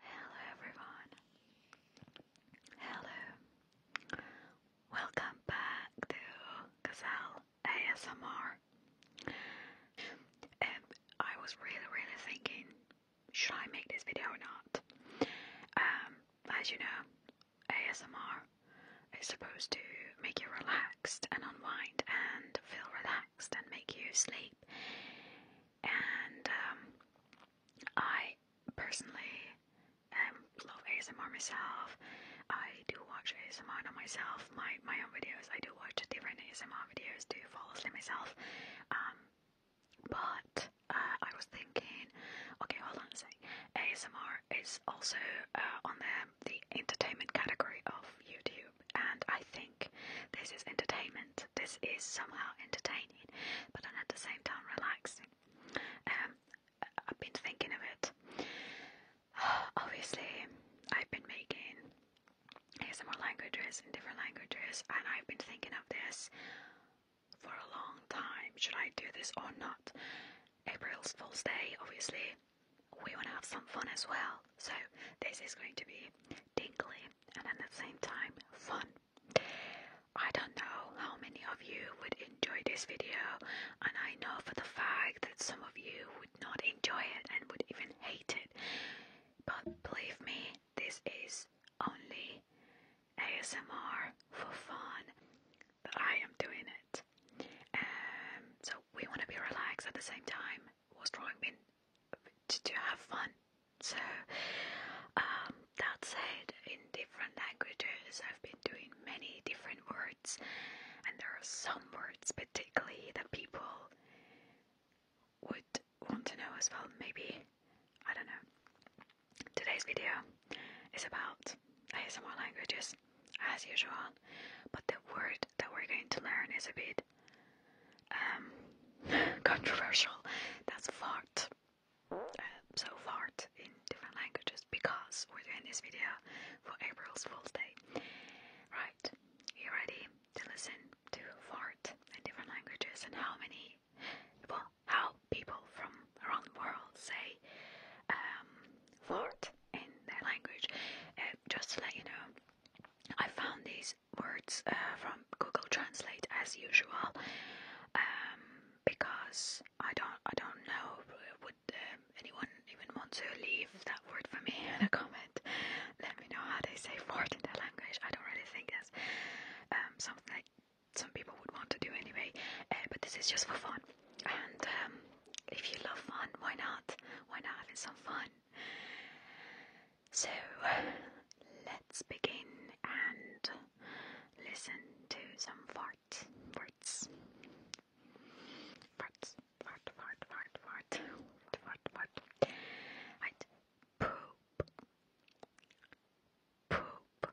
Hello everyone. Hello. Welcome back to Gazelle ASMR. Um, I was really, really thinking, should I make this video or not? Um, as you know, ASMR is supposed to make you relaxed and unwind and feel relaxed and make you sleep. And um, I personally love ASMR myself. I do watch ASMR on myself, my, my own videos. I do watch different ASMR videos do fall asleep myself. Um, but uh, I was thinking, okay, hold on a sec. ASMR is also uh, on there the entertainment category of YouTube, and I think this is entertainment. This is somehow entertaining, but at the same time relaxing. Um, I've been thinking of it. Obviously, I've been making some more languages in different languages, and I've been thinking of this for a long time. Should I do this or not? April's Fool's Day, obviously, we want to have some fun as well. So, this is going to be tingly and at the same time fun. I don't know how many of you would enjoy this video, and I know for the fact that some of you would not enjoy it and would even hate it. But believe me, this is only ASMR for fun that I am doing it. Um, so we want to be relaxed at the same time. Was drawing been to, to have fun. So um, that said, in different languages, I've been doing many different words, and there are some words particularly that people would want to know as well. Maybe I don't know. Today's video is about ASMR languages, as usual, but the word that we're going to learn is a bit um, controversial. That's fart. Uh, so fart in different languages because we're doing this video for April's Fool's Day. Right, you ready to listen to fart in different languages and how many? Well, well, how people from around the world say um, word in their language. Uh, just to let you know, I found these words uh, from Google Translate as usual, um, because I don't I don't know would um, anyone even want to leave that word for me in a comment. Let me know how they say word in their language. I don't really think that's um, something that some people would want to do anyway, uh, but this is just for fun. And um, if you love fun, why not? Why not having some fun? So let's begin and listen to some farts. Farts. Farts. Fart, fart, fart, fart. Fart, Poop. Poop.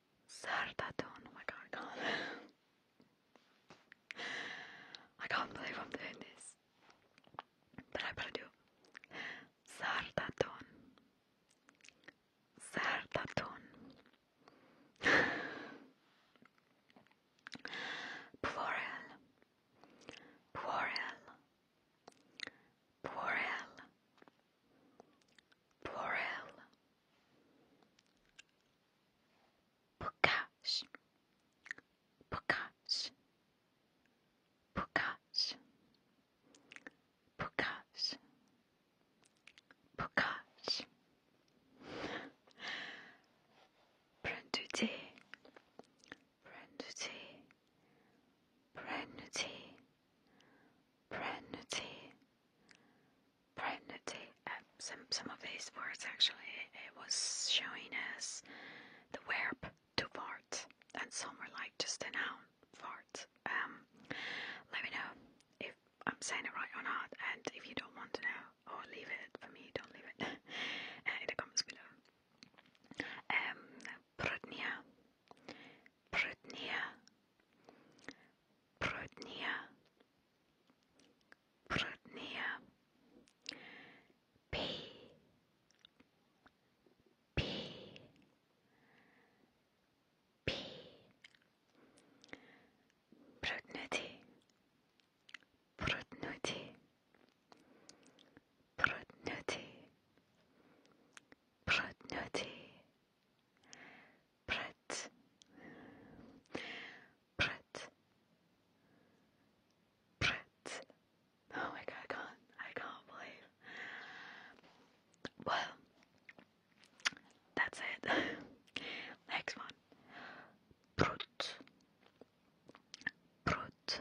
Sardadon. Oh my god, I can't. believe I'm doing this. But I better do. Sardadon. Sardadon. Plural. Plural. Plural. Borel Pokash Pokash Pokash Pokash Pokash Branduti Branduti Branduti Pregnity. Pregnity. Uh, some some of these words actually it was showing us the verb to fart, and some were like just a noun fart. Um, let me know if I'm saying it right or not, and if you don't want to know, or leave it for me, don't leave it uh, in the comments below. Um, prudnia. Prudnia, Prudnia, Prudnia. P, P, P. Prudnuti, Prudnuti, Prudnuti, Prudnuti. Pret. Pret. Pret. Oh my god, I can't. I can't believe. Well, that's it. Next one. Prut. Prut.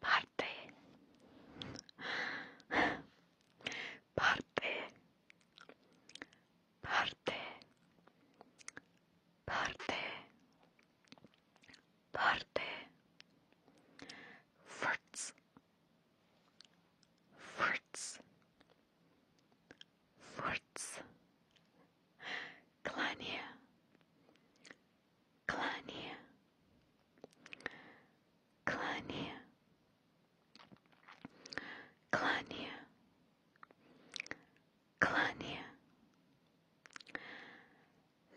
parte parte parte parte parte farts farts farts Clania, Клание. Клание. Клание. Клание.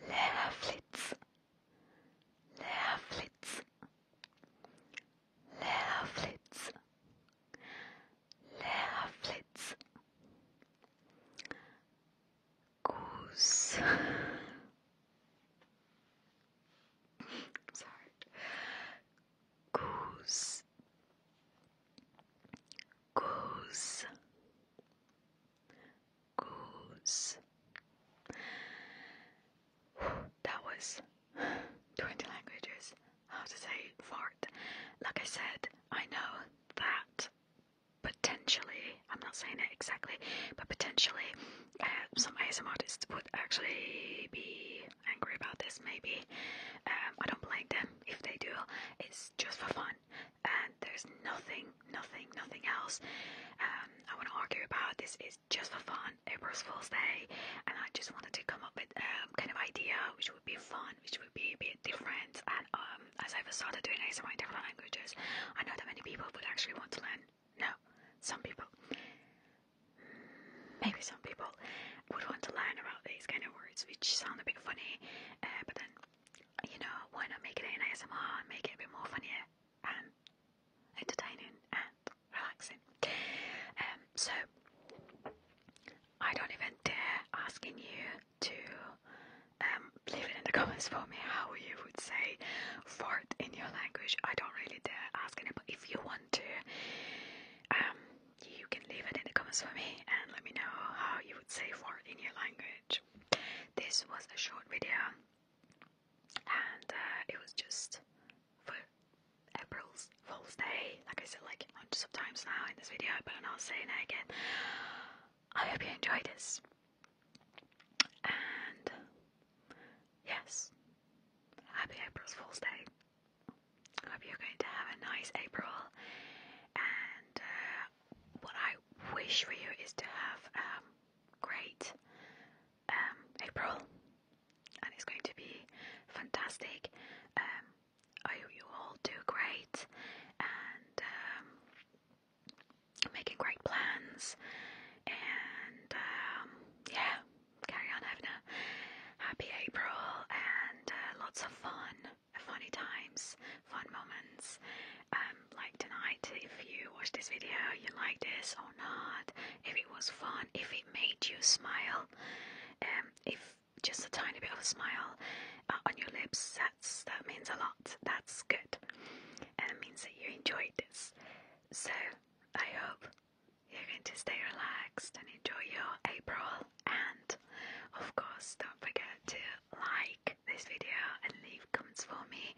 Leerflitz. Leerflitz. Leerflitz. Leerflitz goose. Sorry. Goose. Goose. Goose. That was 20 languages. How to say fart. Like I said, I know that potentially, I'm not saying it exactly, but potentially uh, some ASMR artists would actually be angry about this, maybe. Um, I don't blame them if they do, it's just for fun, and there's nothing, nothing, nothing else um, I want to argue about. This is just for fun, April's Fool's Day, and I just wanted to come up with a um, kind of idea which would be fun, which would be a bit different, and um, um, as I've started doing ASMR in different languages, I know that many people would actually want to learn. No, some people. Maybe some people would want to learn about these kind of words, which sound a bit funny, uh, but then, you know, why not make it an ASMR and make it a bit more funnier and entertaining and relaxing? Um, so, I don't even dare asking you to um, leave it in the comments for me how you would say fart in your language. I don't really dare ask it, but if you want to, um, you can leave it in the comments for me and let me know how you would say fart in your language. This was a short video, and uh, it was just for April's Fool's Day. Like I said, like hundreds of times now in this video, but I'm not saying it again. I hope you enjoyed this. And yes, happy April Fool's Day. I hope you're going to have a nice April. And uh, what I wish for you is to have a um, great um, April. And it's going to be fantastic. Um, I hope you all do great and um, making great plans. And um, yeah, carry on having a happy April and uh, lots of fun, funny times, fun moments. Um, like tonight, if you watch this video, you like this or not, if it was fun, if it made you smile, um, if just a tiny bit of a smile uh, on your lips, that's that means a lot. That's good, and it means that you enjoyed this. So I hope you're going to stay relaxed and enjoy your April. And of course, don't forget to like this video and leave comments for me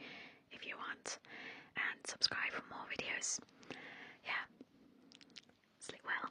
if you want, and subscribe for more videos. Yeah, sleep well.